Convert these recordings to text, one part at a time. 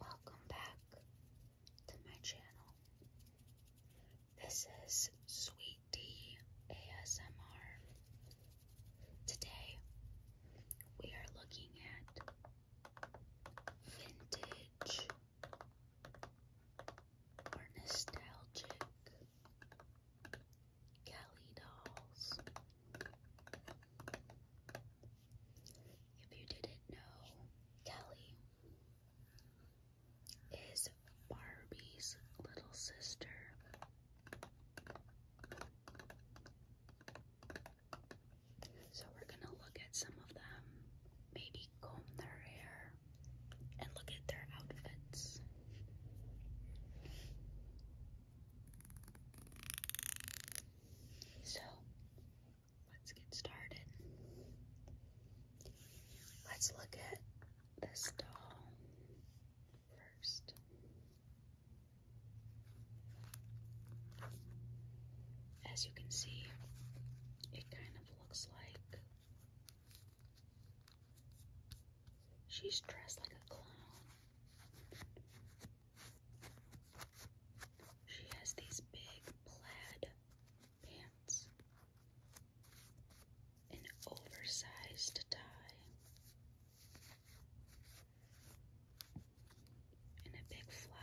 Welcome back to my channel. This is Sweet D ASMR. Today we are looking at vintage or nostalgic Kelly dolls. If you didn't know, Kelly is Barbie's little sister. So we're going to look at some of them, maybe comb their hair, and look at their outfits. So, let's get started. Let's look at this doll first. As you can see, it kind of looks like She's dressed like a clown. She has these big plaid pants, an oversized tie, and a big flower.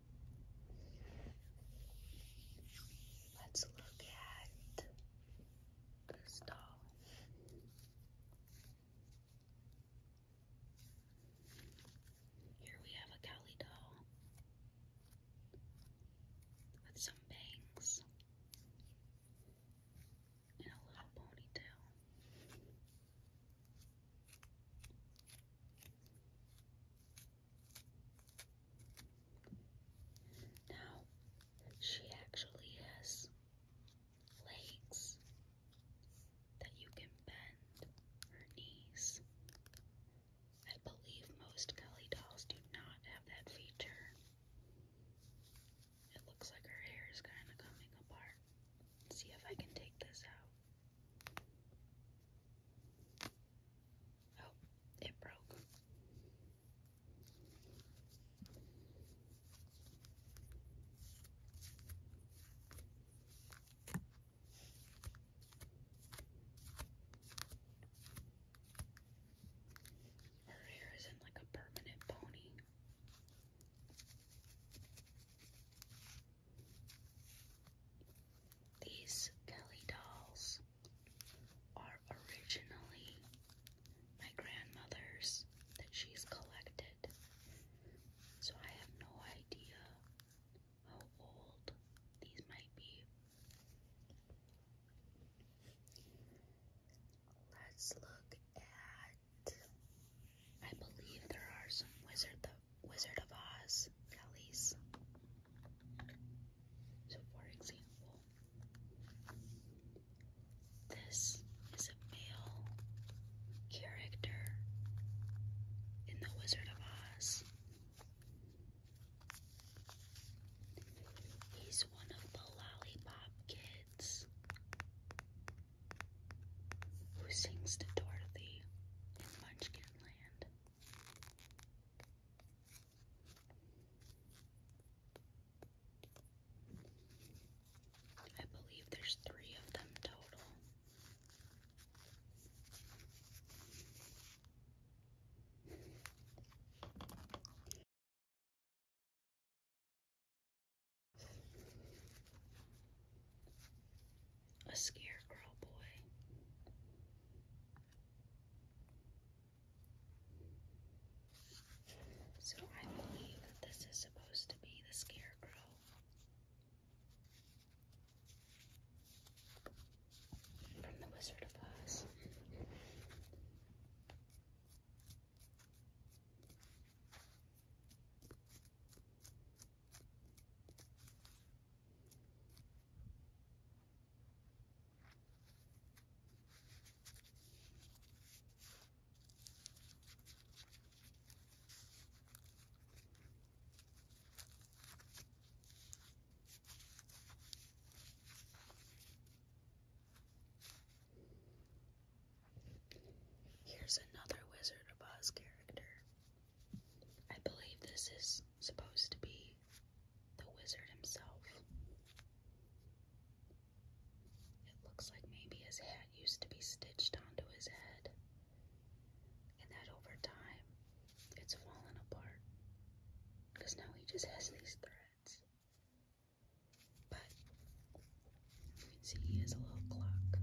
Let's look at this doll. Here we have a Cowley doll with some bangs and a little ponytail. Now, she actually has legs that you can bend her knees. I believe most Kelly dolls do not have that feature. It looks like her hair is kind of coming apart. Let's see if I can take this out. Oh, it broke. Her hair isn't like a permanent pony. These Kelly dolls are originally my grandmother's that she's collected. So I have no idea how old these might be. Let's look at. I believe there are some Wizard the Wizard of Oz alleys. So, for example, this is a male character in The Wizard of Oz. He's one of the lollipop kids who sings to Dorothy in Munchkinland. I believe there's three of them total a scarecrow boy. So I believe that this is supposed to be the scarecrow. From the Wizard of Oz. Here's another Wizard of Oz character. I believe this is supposed to be the wizard himself. It looks like maybe his hat used to be stitched onto his head, and that over time it's fallen apart because now he just has these threads. But you can see he has a little clock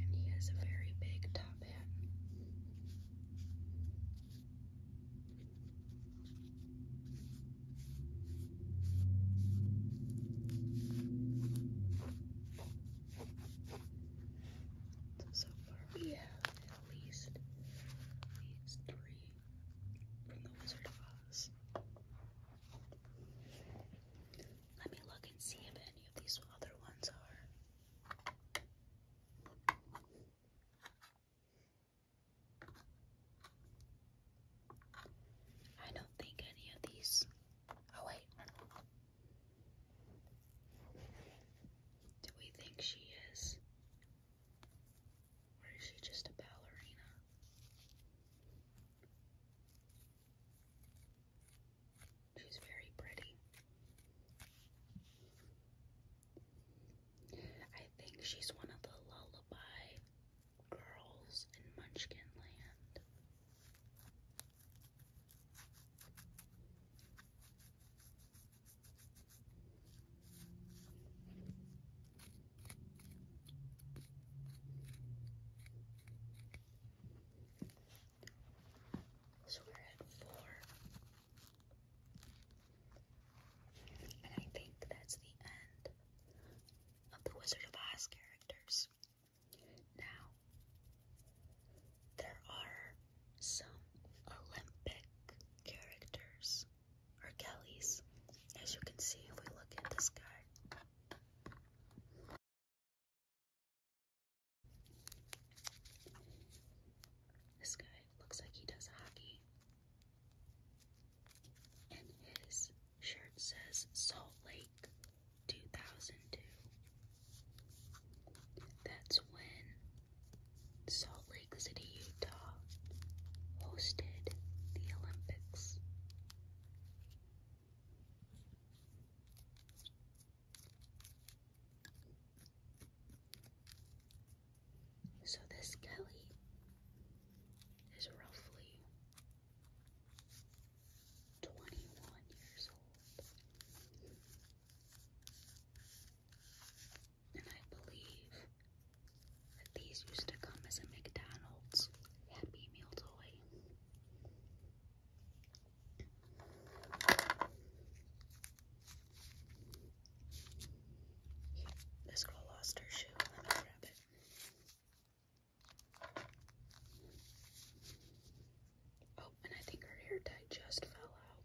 and he has a very big top hat. So, far we have at least these three from the Wizard of Oz. Let me look and see if any of these other ones are. I don't think any of these. Oh, wait. Do we think she is or is she just a ballerina? She's very pretty. I think she's one of the lullaby girls in Munchkin so we're at four. And I think that's the end of the Wizard of Oz characters. Now, there are some Olympic characters or Kelly's, as you can see if we look at this guy, This guy looks like he does hockey. And his shirt says Salt Lake 2002. That's when Lake City, Utah hosted the Olympics. So, this Kelly is roughly 21 years old. And I believe that these used to come as a McDonald's Happy Meal toy. This girl lost her shoe. Let me grab it. Oh, and I think her hair tie just fell out.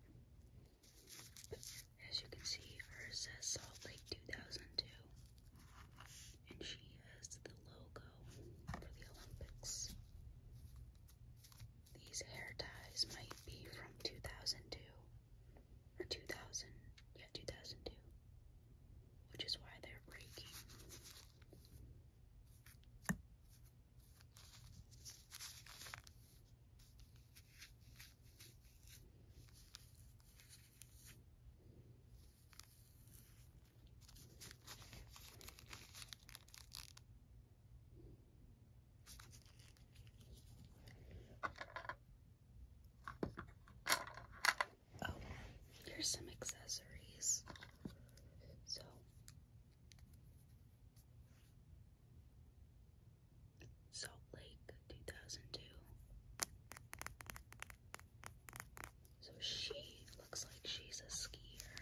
As you can see, hers says Salt Lake 2002, and she has the logo for the Olympics. These hair ties might be from 2002 or 2000, yeah, 2002, which is why they're breaking. Oh, here's some accessories. So Salt Lake 2002. So she looks like she's a skier.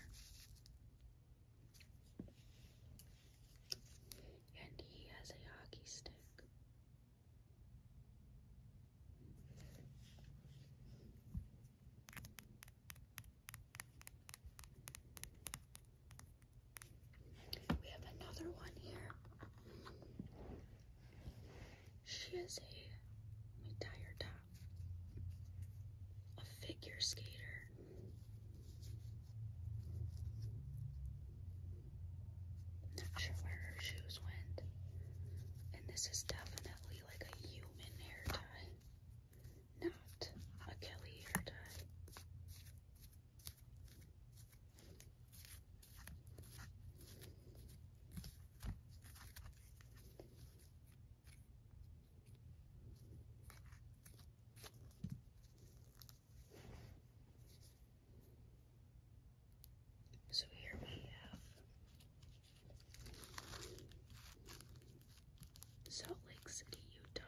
And he has a hockey stick. We have another one here. She is a, let tie uh, a figure skater. Not sure where her shoes went. And this is definitely like a human hair tie, not a Kelly hair tie. So here we have Salt Lake City, Utah.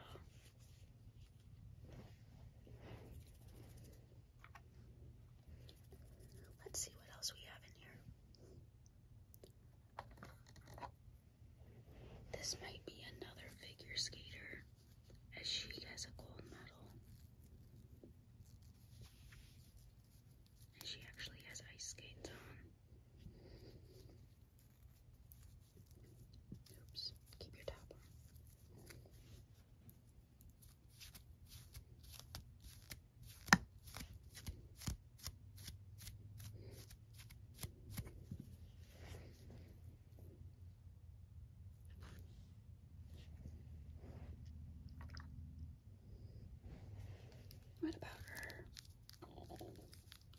Let's see what else we have in here. This might be another figure skater, as she has a gold medal. And she actually has ice skates on. Oops. Keep your top on. What about her?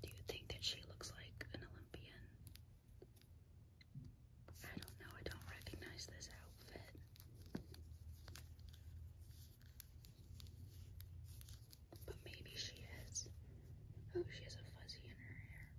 Do you think that she looks like an Olympian? I don't know, I don't recognize this outfit. But maybe she is. Oh, she has a fuzzy in her hair.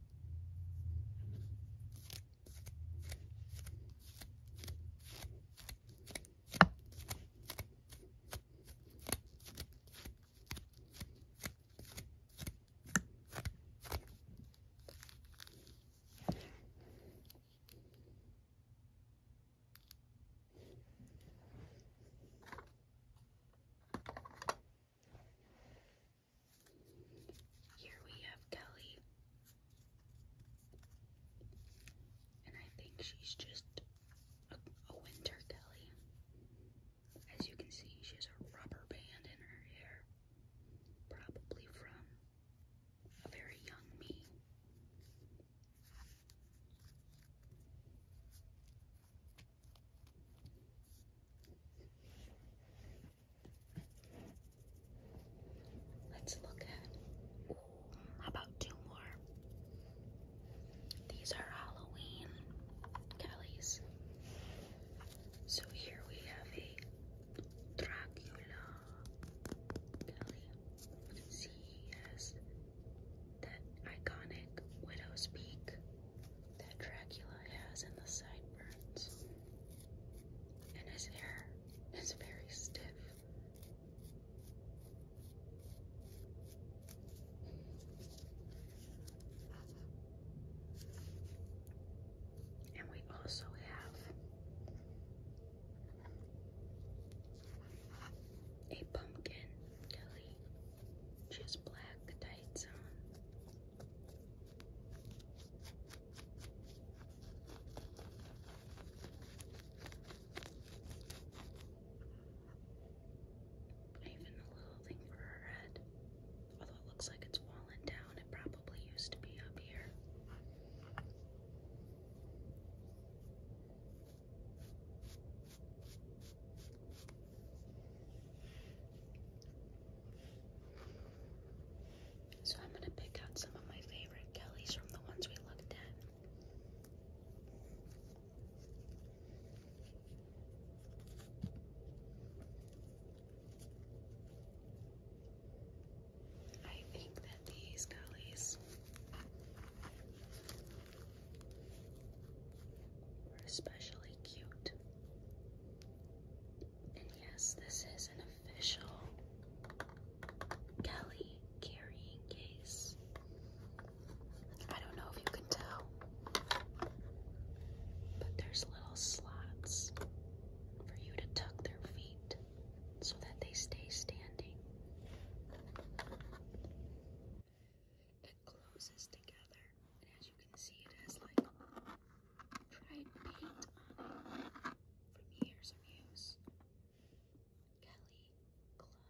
Here we have Kelly, and I think she's just a, a winter Kelly. As you can see, she has a rubber band in her hair, probably from a very young me. Let's look at about two more. These are Halloween Kelly's. So here we have a Dracula belly. See, he has that iconic widow's peak that Dracula has in the sideburns. And his hair is very stiff. And we also have a pumpkin jelly, just black, the tights on. Even a little thing for her head. Although it looks like it's fallen down, it probably used to be up here. So I'm going to pick out some of my favorite Kellys from the ones we looked at. I think that these gullies are especially cute. And yes, this is an official Kelly carrying case. I don't know if you can tell, but there's little slots for you to tuck their feet so that they stay standing. It closes together, and as you can see, it has like dried paint on it from years of use. Kelly